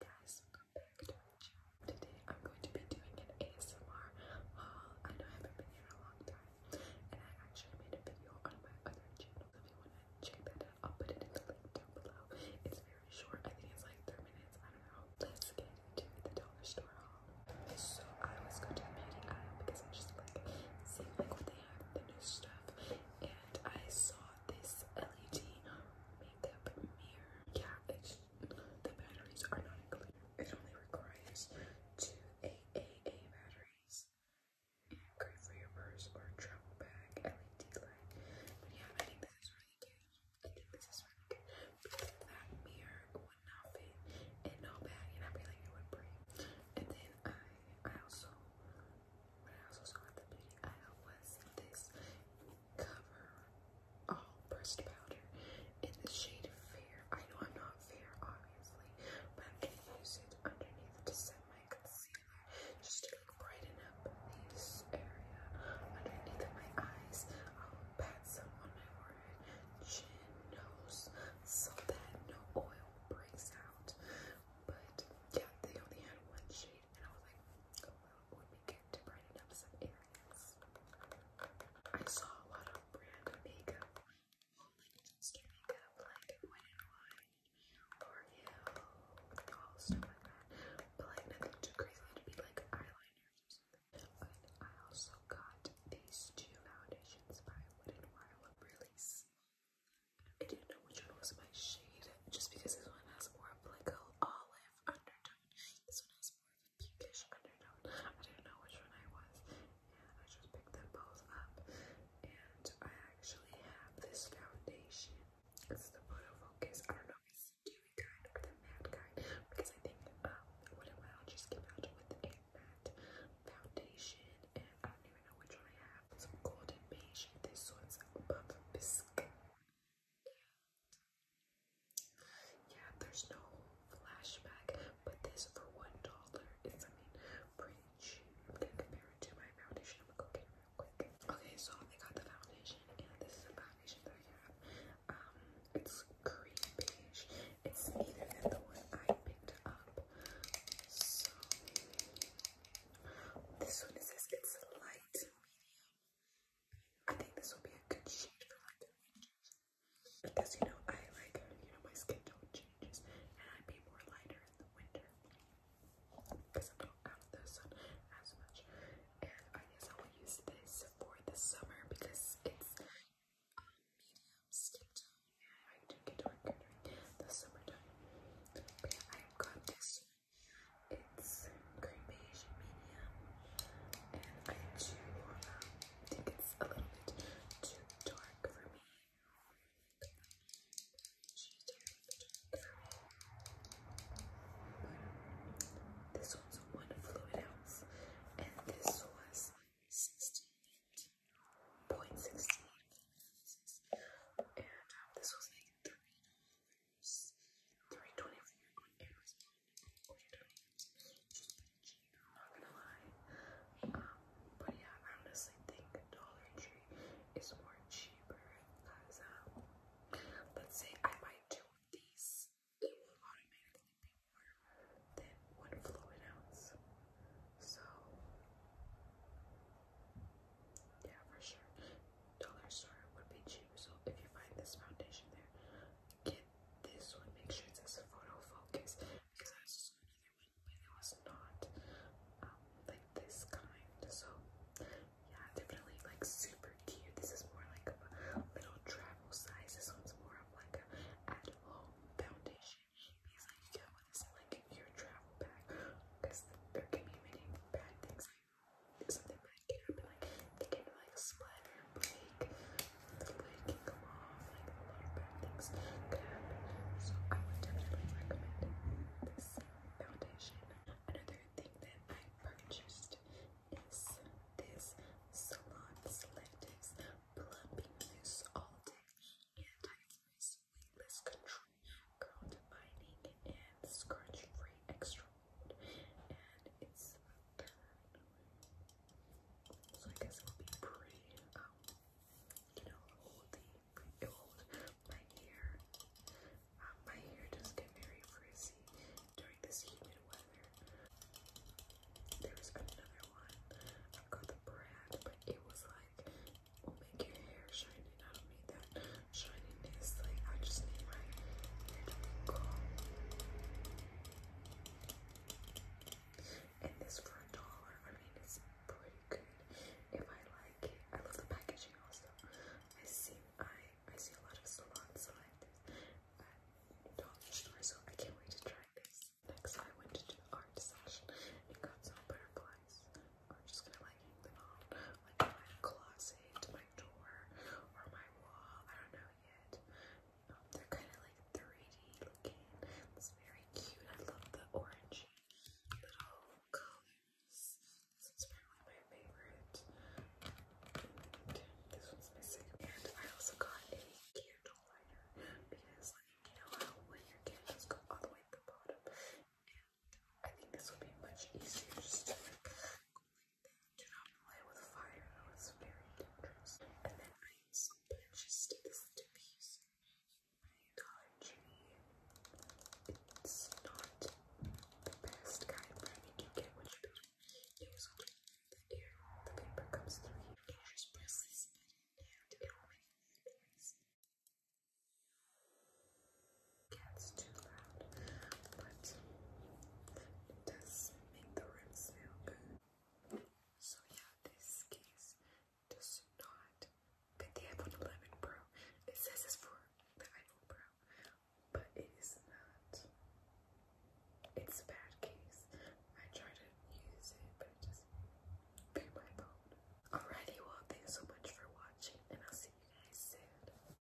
guys, welcome back to my channel. Today I'm going to be doing an ASMR haul. I know I haven't been here in a long time, and I actually made a video on my other channel. If you want to check that out, I'll put it in the link down below. It's very short. I think it's like three minutes. I don't know. Let's get into the dollar store haul. So I always go to the beauty aisle because I just like seeing like what they have, the new stuff, and I saw this LED makeup mirror. Yeah, it's the batteries are not included. It only requires two AAA batteries great for your purse or travel bag LED light. But yeah, I think this really good. I think this is really good that mirror would not fit in no bag, and I feel like it would break. And then I, I also, I also saw the beauty aisle was this cover all pressed powder in the shade Fair. I know I'm not fair, obviously, but I'm going to use it underneath to set my concealer just to like, brighten up this area underneath of my eyes. I'll pat some on my forehead, chin, nose, so that no oil breaks out. But yeah, they only had one shade and I was like, would be good to brighten up some areas. I saw a lot of brand oh, makeup, like skin makeup, like Wet n Wild, L'Oreal, all stuff like that, but like nothing too crazy. it be like eyeliners But I also got these two foundations by Wet n Wild, Release. I didn't know which one was my shade, just because this one has more of like an olive undertone. This one has more of a cutish undertone. I didn't know which one I was, and I just picked them both up. And I actually have this foundation. This is the Photo Focus. I don't know the dewy kind or the matte kind, because I think um, one of my allergies came out with a matte foundation, and I don't even know which one I have. It's golden beige. This one's above bisque. Yeah, yeah, there's no flashback, but this for one dollar is, I mean, pretty I'm gonna compare it to my foundation. i real quick. Okay, so I got the foundation, and this is the foundation that I have. Um, it's cream beige. It's neither than the one I picked up. So this one is it's light medium I think this will be a good shade for like the winters. Because you know, I like, uh, you know, my skin tone changes and I'd be more lighter in the winter. Because I'm not out of the sun as much. And I guess I will use this for the summer because it's um, medium skin tone. And I do get darker during the summertime. But yeah, I have got this it's cream beige medium, and I do um, think it's a little bit too dark for me. this one's one fluid ounce, and this was 16.16. .16. And um, this was like $3 three twenty four I'm not gonna lie. but yeah, I honestly think Dollar Tree is more cheaper because let's say I buy two of these, it will automatically be more than one fluid ounce. So yeah, for sure dollar store would be cheap. So if you find this foundation there, get this one. Make sure it says photo focus because I was another one, but it was not um, like this kind. So yeah, definitely like super cute. This is more like a little travel size. This one's more of like a at foundation. Because like you get one that's in like your travel bag because there can be many bad things something bad can happen, like they can like split or break, the lid can come off, like a lot of bad things can happen. So I would definitely recommend this foundation. Another thing that I purchased is this Salon Selectives Plumping Mousse All Day Anti-Frizz Weightless Control Curl Defining and Scratch Free Extra it's So I guess it'll be pretty, you know, holdy, pretty old. My hair, my hair does get very frizzy during this humid weather. There's another one. i got the brand, but it was like, will oh, make your hair shiny. I don't need that shininess. Like, I just need my hair And this for a dollar, I mean, it's pretty good. If I like it, I love the packaging also. I see, I, I see a lot of salons select at uh, dollar store, so I can't wait to try this. Next, I went to the art section and got some butterflies. I'm just gonna like hang them on like my closet it, my door, or my wall. I don't know yet. Um, they're kind of like 3D looking. It's very cute. I love the orange little colors. This one's probably my favorite. this one's missing. And I also got a candle lighter because, like, you know how when your candles go all the way at the bottom, and I think this would be much easier do not play with fire, it was very dangerous. And then I purchased this diffuser in my Dollar It's not the best kind, but I think get what you do. There's only the air, the paper comes through here. just press yeah, it's too loud, but it does make the room smell good. So yeah, this case does not fit the iPhone 11 Pro. It says it's for the iPhone Pro, but it is not. It's a bad case. I tried to use it, but it just fit my phone. Alrighty, well, thanks so much for watching, and I'll see you guys soon.